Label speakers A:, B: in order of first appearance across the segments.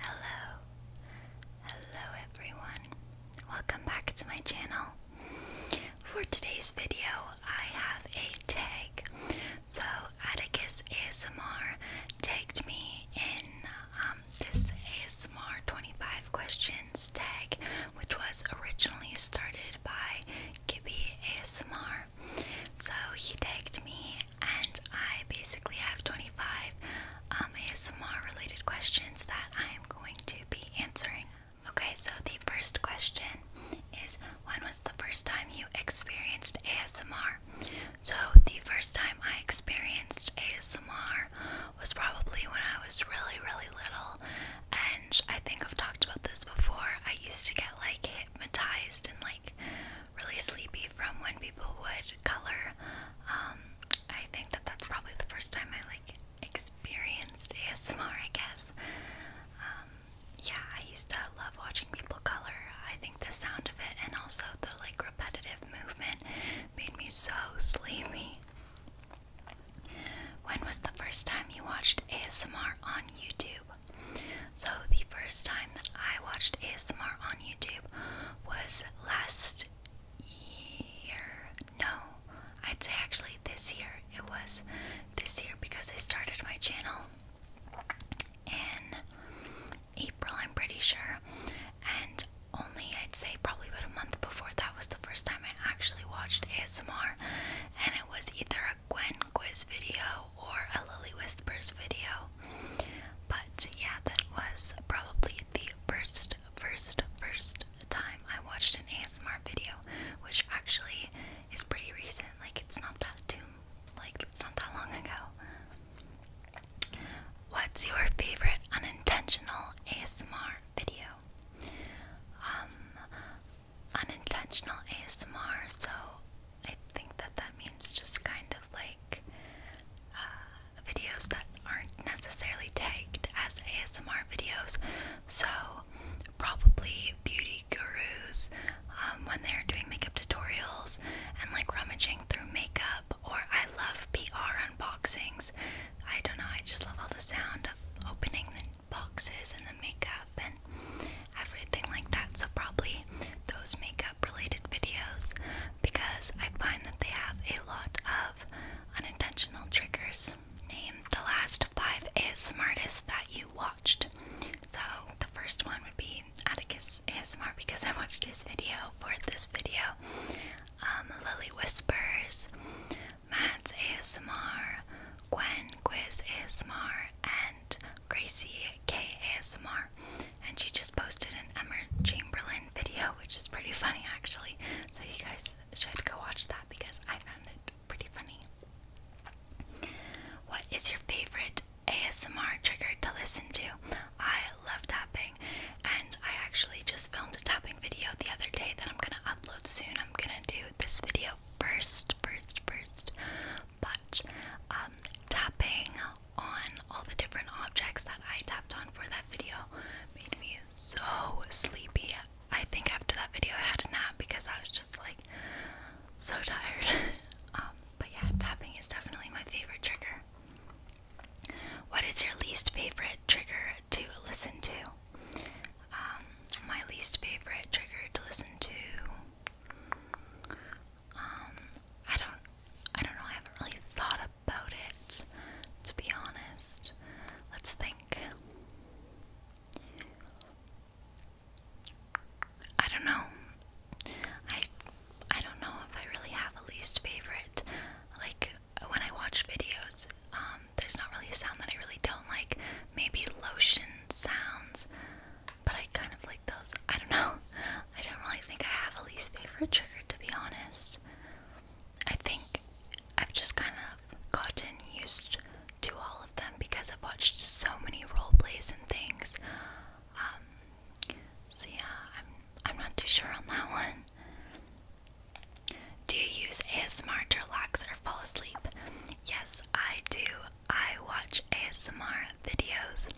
A: Hello, hello, hello everyone. Welcome back to my channel. For today's video, I have a tag. So, Atticus ASMR tagged me in um, this ASMR 25 questions tag, which was originally started by Gibby ASMR. So, he tagged me and I basically have 25 um, ASMR related questions that I am going to be answering. Okay, so the first question is when was the first time you experienced ASMR? So, the first time I experienced ASMR was probably when I was really, really little, and I think I've talked about this before. I used to get like hypnotized and like really sleepy from when people would color. Um, I think that that's probably the first time I like experienced ASMR, I guess. Um, yeah, I used to love watching people color. I think the sound of it and also the like repetitive movement made me so sleepy. When was the first time you watched ASMR on YouTube? So, the first time that I watched ASMR on YouTube was last year. No, I'd say actually this year. It was this year because I started my channel in April, I'm pretty sure. And only, I'd say, probably about a month before that was the first time I actually watched ASMR. And it was either a Gwen quiz video or a Lily Whispers video. But yeah, that was probably the first, first, first time I watched an ASMR video, which actually is pretty recent. Like it's not that too, like it's not that long ago. What's your favorite unintentional ASMR video? Um, unintentional ASMR. So I think that that means just kind of like uh, videos that aren't necessarily tagged as ASMR videos. So, probably beauty gurus um, when they're doing makeup tutorials and like rummaging through makeup, or I love PR unboxings. I don't know, I just love all the sound of opening the boxes and the makeup and everything like that. So, probably those makeup related videos because I find that they have a lot of unintentional triggers. Name the last five ASMR artists that you watched. So the first one would be Atticus ASMR because I watched his video for this video. Um, Lily Whispers, Mads ASMR, Gwen Quiz ASMR, and Gracie K and she just posted an Emma Chamberlain video, which is pretty funny actually. So you guys should go watch that because I found it pretty funny. What is your favorite ASMR trigger to listen to? I love tapping, and I actually just filmed a tapping video the other day that I'm gonna upload soon. I'm gonna do this video first, first, first. But um, tapping on all the different objects that I tapped on for that video made me so sleepy. I think after that video I had a nap because I was just like so tired. Um, but yeah, tapping is definitely my favorite trigger. What is your least favorite trigger to listen to? Um, my least favorite trigger to listen to um, I don't, I don't know. I haven't really thought about it, to be honest. Let's think. I don't know. I, I don't know if I really have a least favorite. Like when I watch videos, um, there's not really a sound that I really don't like. Maybe lotion sounds, but I kind of like those. I don't know. I don't really think I have a least favorite trigger to be honest. I think I've just kind of gotten used to all of them because I've watched so many role plays and things. Um, so yeah, I'm I'm not too sure on that one. Do you use ASMR to relax or fall asleep? Yes, I do. I watch ASMR videos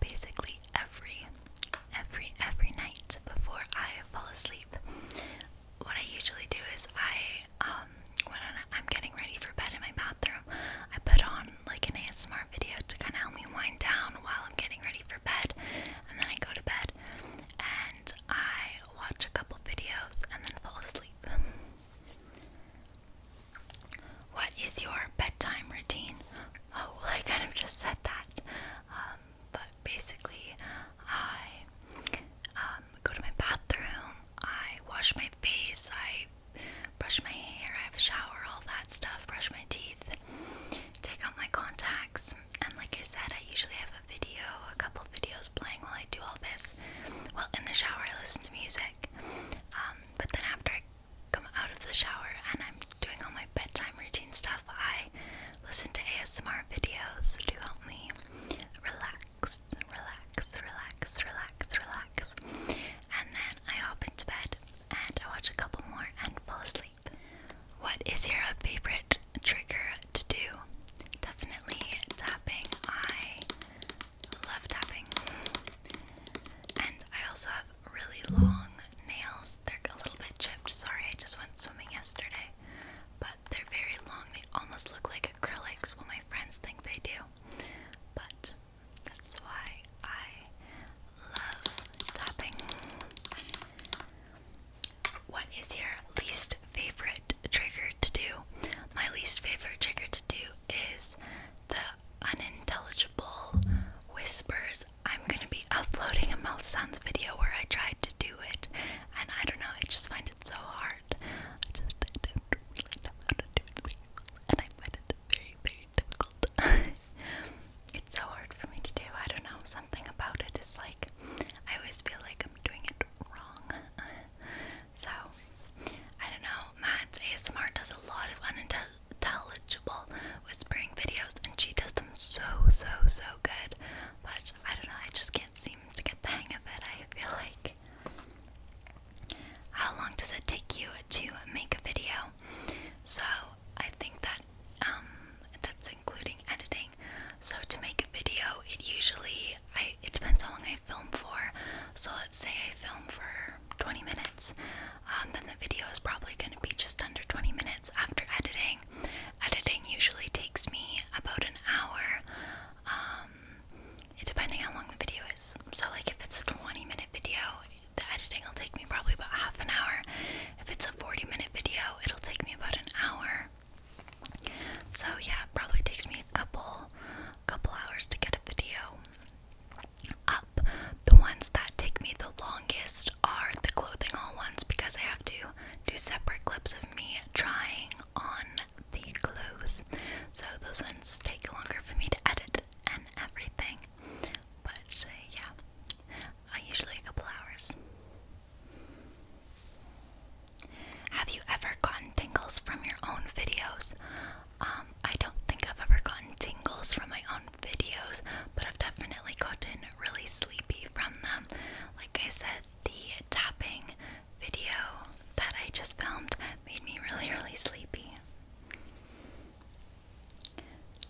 A: basically every every every night before I fall asleep. What I usually do is I um when I'm getting ready for bed in my bathroom, I put on like an ASMR video to kind of help me wind down while I'm getting ready for bed, and then I go to bed and I watch a couple videos and then fall asleep. What is your bedtime routine? Oh, well, I kind of just said that. Um, but basically, I um, go to my bathroom, I wash my face, I brush my hair, I have a shower, all that stuff, brush my teeth, take out my contacts, and like I said, I usually have a video, a couple videos playing while I do all this. Well, in the shower, I listen to music, um, but then after come out of the shower and I'm doing all my bedtime routine stuff, I listen to ASMR videos to help me relax, relax, relax, relax, relax. And then I hop into bed and I watch a couple more and fall asleep. What is your favorite trigger to do? Definitely tapping. I love tapping. And I also have really long nails, these. They're a little bit chipped. Sorry, I just went swimming yesterday. But they're very long. They almost look like acrylics. Well, my friends think they do. But that's why I love tapping. What is your least favorite trigger to do? My least favorite trigger to do is the unintelligible whispers I'm gonna be uploading a mouth sounds video where I tried to do it, and I don't know, I just find it so hard. I don't know how to do it and I find it very, very difficult. it's so hard for me to do. I don't know, something about it is like I always feel like I'm doing it wrong. so I don't know, Matt's ASMR does a lot of fun and does intelligible whispering videos, and she does them so, so, so good. But I don't know, I just can't seem to get the hang of it, I feel like. How long does it take you to make a video? So I think that um, that's including editing. So to make a video, it usually I it depends how long I film for. So let's say I film for 20 minutes. Um, then the video is probably going to be just under 20 minutes after editing. Editing usually takes me about an hour, um, depending how long the video is. So, like, if it's a 20 minute video, the editing will take me probably about half an hour. If it's a 40 minute video, it'll take me about an hour. So yeah, probably takes me a couple couple hours to get a video up. The ones that take me the longest are the clothing haul ones because I have to do separate clips of me trying on the clothes. So those ones take longer for me to edit and everything. But uh, yeah, usually a couple hours. Have you ever gotten tingles from your own videos? Um, I don't think I've ever gotten tingles from my own videos, but I've definitely gotten really sleepy from them. Like I said, the tapping video that I just filmed made me really, really sleepy.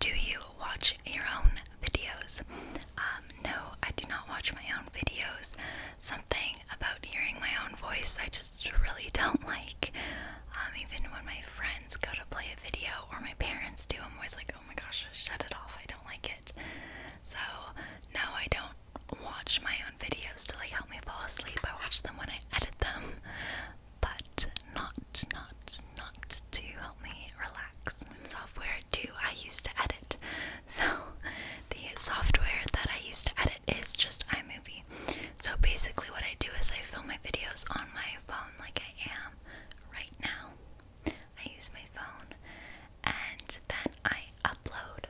A: Do you watch your own videos? Um, no, I do not watch my own videos. Something about hearing my own voice I just really don't like. Um, even when my friend go to play a video or my parents do, I'm always like, oh my gosh, shut it off. I don't like it. So now I don't watch my own videos to like help me fall asleep. I watch them when I edit them, but not, not, not to help me relax. Software too, I used to edit. So the software that I used to edit is just iMovie. So basically, what I do is I film my videos on my phone, like I am right now. I use my phone and then I upload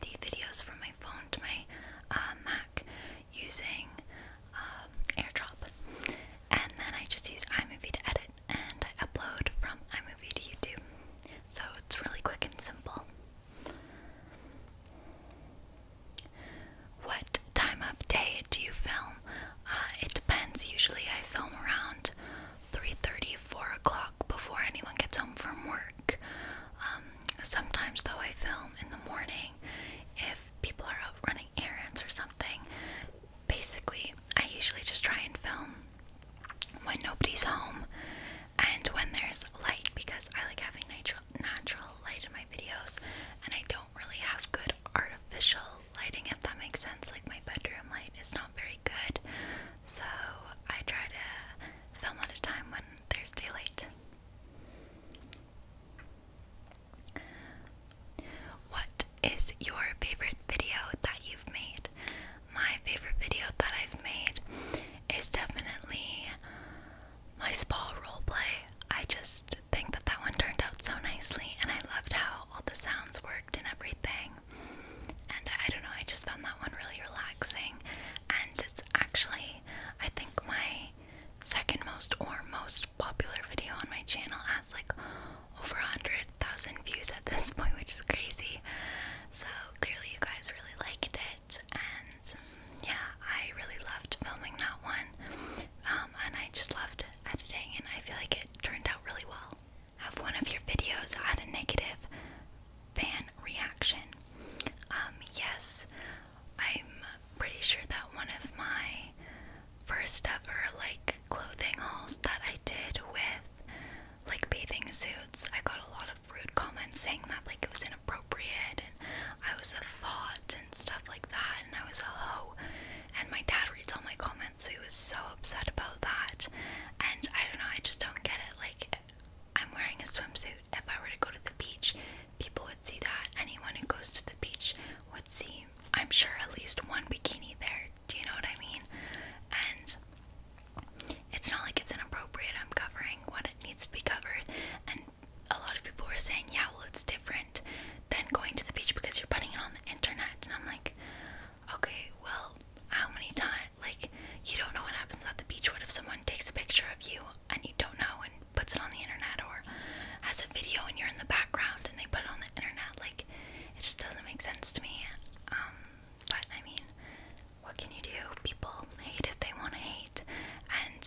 A: the videos from my phone to my uh, Mac using um, AirDrop. And then I just use iMovie to edit and I upload from iMovie to YouTube. So it's really quick and simple. What time of day do you film? Uh, it depends. Usually, I film around 3:30, 4 o'clock before anyone gets home from work. Um, sometimes, though, I film in the morning if people are out running errands or something. Basically, I usually just try and film when nobody's home and when there's light because I like having natural light in my videos and I don't really have good artificial lighting, if that makes sense. Like, my bedroom light is not very good, so I try to film at a time when there's daylight. What is your favorite video that you've made? My favorite video that I've made is definitely my spa roleplay. I just think that that one turned out so nicely, and I loved how all the sounds worked and everything. And I don't know, I just found that one really relaxing. And it's actually, I think, my second most or most popular video on my channel has like over 100,000 views at this point, which is crazy. So clearly, you guys really liked it. And yeah, I really loved filming that one. Um, and I just loved it editing and I feel like it turned out really well. Have one of your videos had a negative fan reaction? Um, yes, I'm pretty sure that one of my first ever like clothing hauls that I did with like bathing suits, I got a lot of rude comments saying that like it was inappropriate and I was a thought and stuff like that, and I was a hoe. And my dad reads all my comments, so he was so upset about that. And I don't know, I just don't get it. Like, I'm wearing a swimsuit. If I were to go to the beach, people would see that. Anyone who goes to the beach would see, I'm sure, at least one bikini there. Do you know what I mean? And it's not like it's inappropriate. I'm covering what it needs to be covered. And a lot of people were saying, yeah, well, it's different different than going to the beach because you're putting it on the internet. And I'm like, okay, well, how many times? Like, you don't know what happens at the beach. What if someone takes a picture of you and you don't know and puts it on the internet or has a video and you're in the background and they put it on the internet? Like, it just doesn't make sense to me. Um, but I mean, what can you do? People hate if they want to hate. And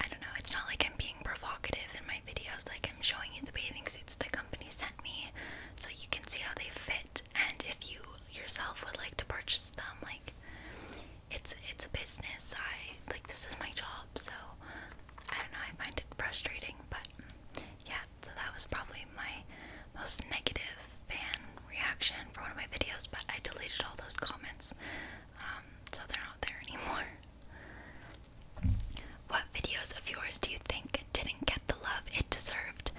A: I don't know, it's not like I'm being provocative in my videos, like I'm showing you the bathing suits the company sent me so you can see how they fit and if you yourself would like to purchase them, like it's it's a business. I like this is my job, so I don't know, I find it frustrating, but yeah, so that was probably my most negative fan reaction for one of my videos, but I deleted all those comments. Um, so they're not there anymore. What videos of yours do you think didn't get the love it deserved?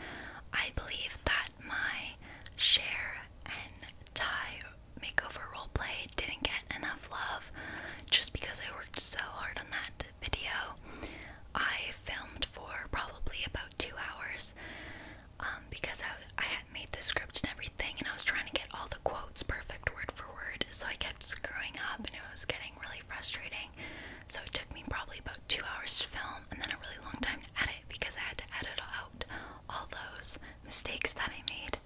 A: I believe that my share and tie makeover roleplay didn't get enough love just because I worked so hard on that video. I filmed for probably about two hours um, because I, I had made the script and everything, and I was trying to get all the quotes perfect word for word so I kept screwing up and it was getting really frustrating. So it took me probably about two hours to film and then a really long time to edit because I had to edit out all those mistakes that I made.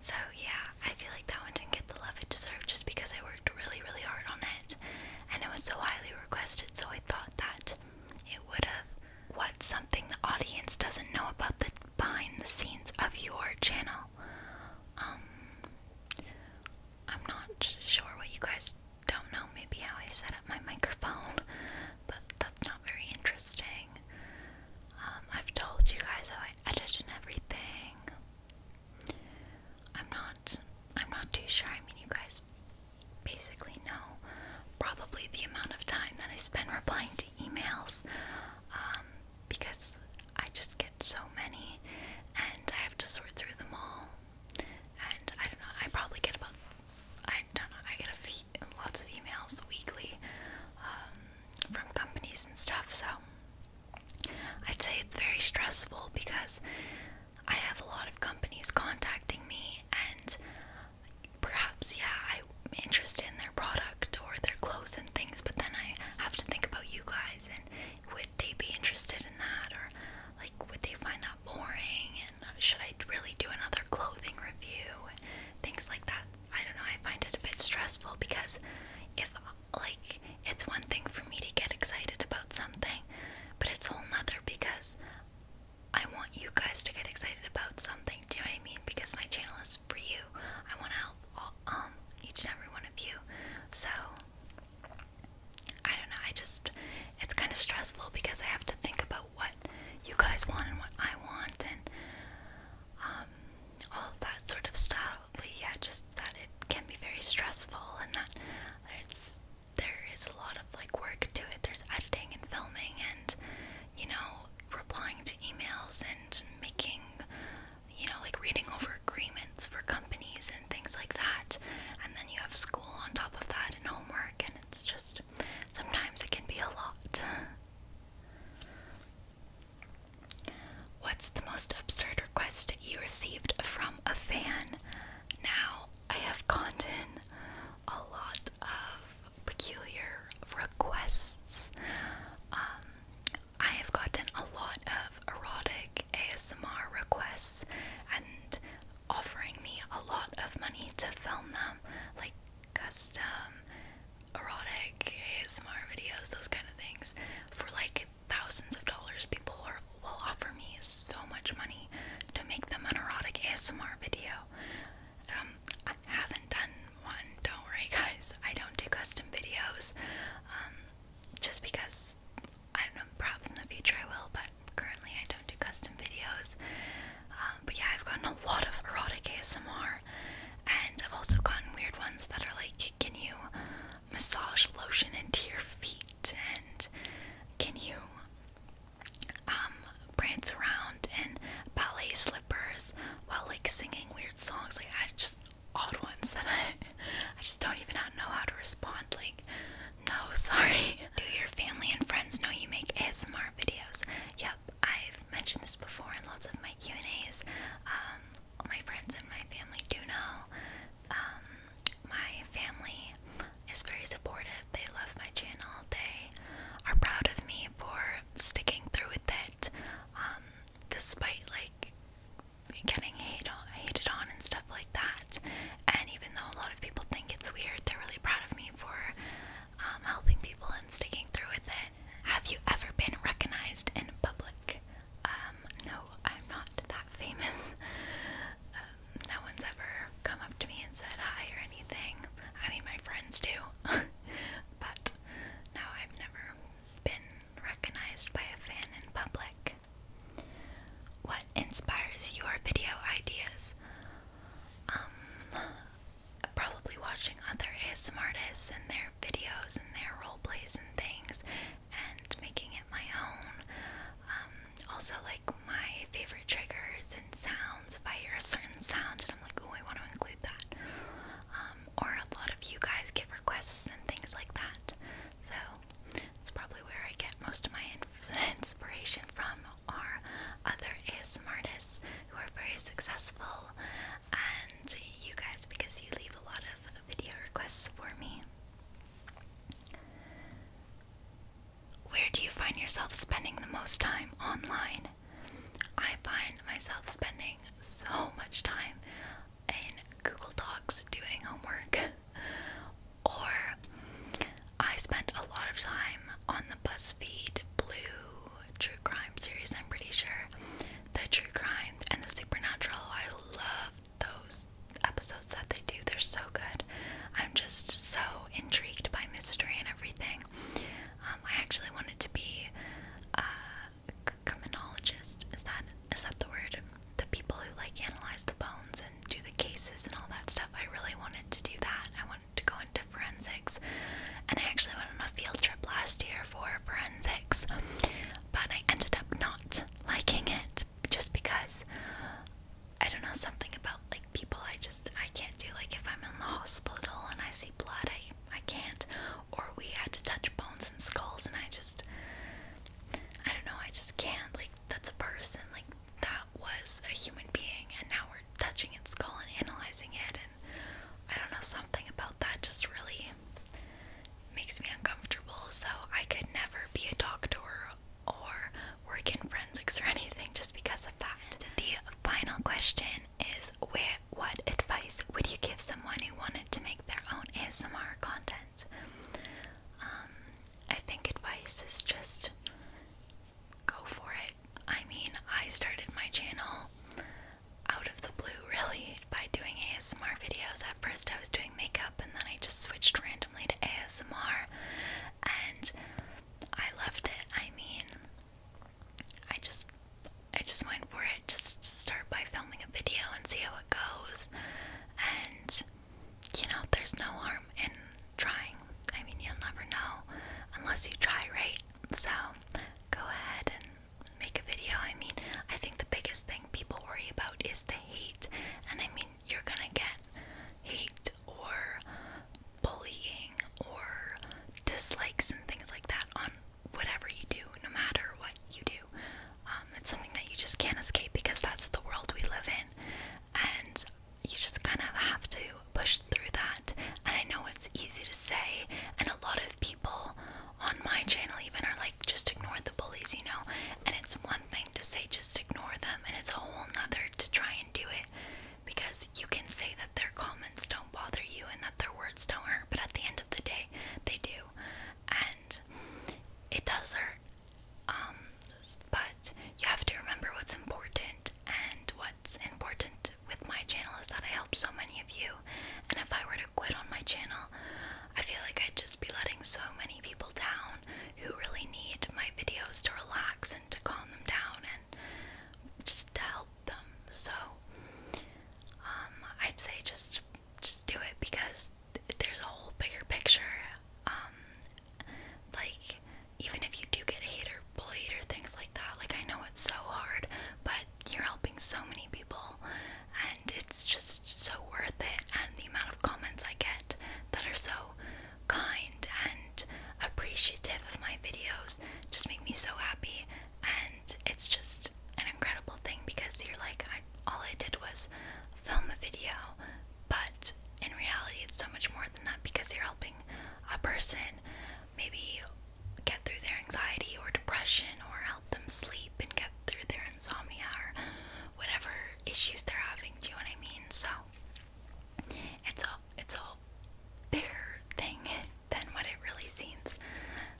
A: So yeah, I feel like that one didn't get the love it deserved just because I worked really, really hard on it and it was so highly requested, so I thought that it would have what something the audience doesn't know about the behind the scenes of your channel um, I'm not sure what you guys don't know, maybe how I set up my microphone, but that's not very interesting. Um, I've told you guys how I edit and everything. I'm not, I'm not too sure, I mean you guys basically know probably the amount of time that I spend replying to emails. Um, because I just get so many and I have to sort through them all. And I don't know, I probably get about, I don't know, I get a few, lots of emails weekly um, from companies and stuff. So I'd say it's very stressful because I have a lot of companies contacting me and perhaps, yeah, I'm interested in their product or their clothes and things, but then I have to think about you guys and would they be interested in that or like would they find that boring and uh, should I really do another clothing review and things like that. I don't know, I find it a bit stressful because if like it's one thing for me to get excited about something, but it's whole nother because I want you guys to get excited about something. Do you know what I mean? Because my channel is just for you. I want to help all, um each and every one of you. So I don't know. I just it's kind of stressful because I have to think about what you guys want and what I want and um all of that sort of stuff. But yeah, just that it can be very stressful and that it's there is a lot of like work to it. There's editing and filming and you know replying to emails and making you know, like reading over agreements for companies and things like that. And then you have school on top of that and homework, and it's just sometimes it can be a lot. What's the most absurd request you received from a fan? Now, I have gotten a lot of peculiar requests. Um, I have gotten a lot of erotic ASMR requests and offering me a lot of money to film them, like custom erotic ASMR videos, those kind of things, for like thousands of dollars. People are, will offer me so much money to make them an erotic ASMR video. Um, I haven't done one, don't worry, guys. I don't do custom videos. Um, just because I don't know, perhaps in the future I will, but currently I don't do custom videos. Um, but yeah, I've gotten a lot of erotic ASMR, and I've also gotten weird ones that are like, can you massage lotion into your feet, and can you um, prance around in ballet slippers while like singing weird songs? Like I just, odd ones that I I just don't even know how to respond. Like, no, sorry. Do your family and friends know you make ASMR videos? Yep, I've mentioned this before in lots of my Q and A's. all um, my friends and my family do know. Um, my family is very supportive. They love my channel. They are proud of me for sticking through with it, um, despite like getting hate hated on and stuff like that. And even though a lot of people think it's weird, they're really proud of me for um, helping people and sticking through with it. Have you ever been recognized in public? Um, no, I'm not that famous. Um, no one's ever come up to me and said hi or anything. I mean, my friends do, but no, I've never been recognized by a fan in public? What inspires your video ideas? Um, probably watching other ASMR artists and their videos and their role plays and things, and making it my own. Um, also, like my favorite triggers and sounds. If I hear a certain sound and I'm like, oh, I want to include that," um, or a lot of you guys give requests and things like that. So that's probably where I get most of my inspiration from are other ASMR who are very successful and you guys because you leave a lot of video requests for me. Where do you find yourself spending the most time online? I find myself spending so much time in Google Docs doing homework, or I spent a lot of time on the BuzzFeed Blue True Crime series, I'm pretty sure. The True Crime and the Supernatural, I love those episodes that they do, they're so good. I'm just so intrigued by mystery and everything. Um, I actually wanted to be uh, criminologist is that is that the word? The people who like analyze the bones and do the cases and all that stuff. I really wanted to do that. I wanted to go into forensics, and I actually went on a field trip last year for forensics, but I ended up not liking it just because I don't know something about like people. I just I can't do like if I'm in the hospital and I see blood, I I can't or we had to touch bones and skulls and I just I don't know, I just can't like that's a person like that was a human being and now we're touching its skull and analyzing it and I don't know something about that just really makes me uncomfortable so I could never be a doctor or work in forensics or anything just because of that. The final question is where what advice would you give someone who wanted to make their own ASMR content. Um, I think advice is just go for it. I mean, I started my channel out of the blue, really, by doing ASMR videos. At first, I was doing makeup, and then I just switched randomly to ASMR, and I loved it. I mean, I just I just went for it. Just start by filming a video and see how it goes. And you know, there's no harm in trying. I mean, you'll never know unless you try, right? So go ahead and make a video. I mean, I think the biggest thing people worry about is the hate. And I mean, you're gonna get hate or bullying or dislikes and things like that on whatever you do, no matter what you do, um, it's something that you just can't escape because that's the world we live in, and you just kind of have to push through that. And I know it's easy to say, and a lot of people on my channel even are like, just ignore the bullies, you know. And it's one thing to say, just ignore them, and it's a whole nother to try and do it because you can say that their comments don't bother you and that their words don't hurt, but at the end of the day, they do. And it does hurt. Um, but you have to remember what's important, and what's important with my channel is that I help so many of you. And if I were to quit on my channel, I feel like I'd just be letting so many people down who really need my videos to relax and to calm them down and just to help them. So, um, I'd say just just do it because there's a whole bigger picture. Um, like even if you do get hate or bullied or things like that, like I know it's so hard, but you're helping so many people, and it's just so worth it. And the amount of comments I get that are so kind and appreciative of my videos just make me so happy. And it's just an incredible thing because you're like, all I did was film a video, but in reality, it's so much more than that because you're helping a person maybe get through their anxiety or depression or help them sleep and get through their insomnia or whatever issues they're having. Do you know what I mean? So it's a it's a bigger thing than what it really seems.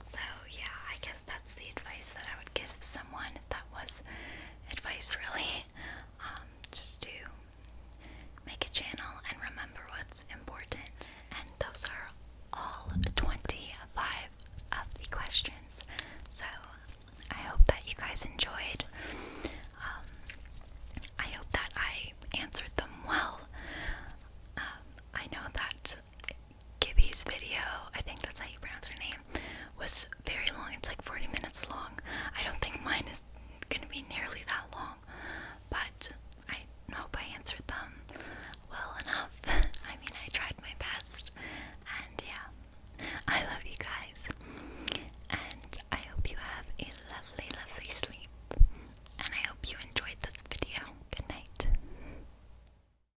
A: So, yeah, I guess that's the advice that I would give someone that was advice, really. Um, just to make a channel and remember what's important. And those are all 25 of the questions. So, I hope that you guys enjoyed. Um, I hope that I answered them well. Um, I know that Gibby's video, I think that's how you pronounce her name, was very long. It's like 40 minutes long. I don't think mine is gonna be nearly that long, but I hope I answered them well enough. I mean, I tried my best, and yeah, I love you guys, and I hope you have a lovely, lovely sleep, and I hope you enjoyed this video. Good night.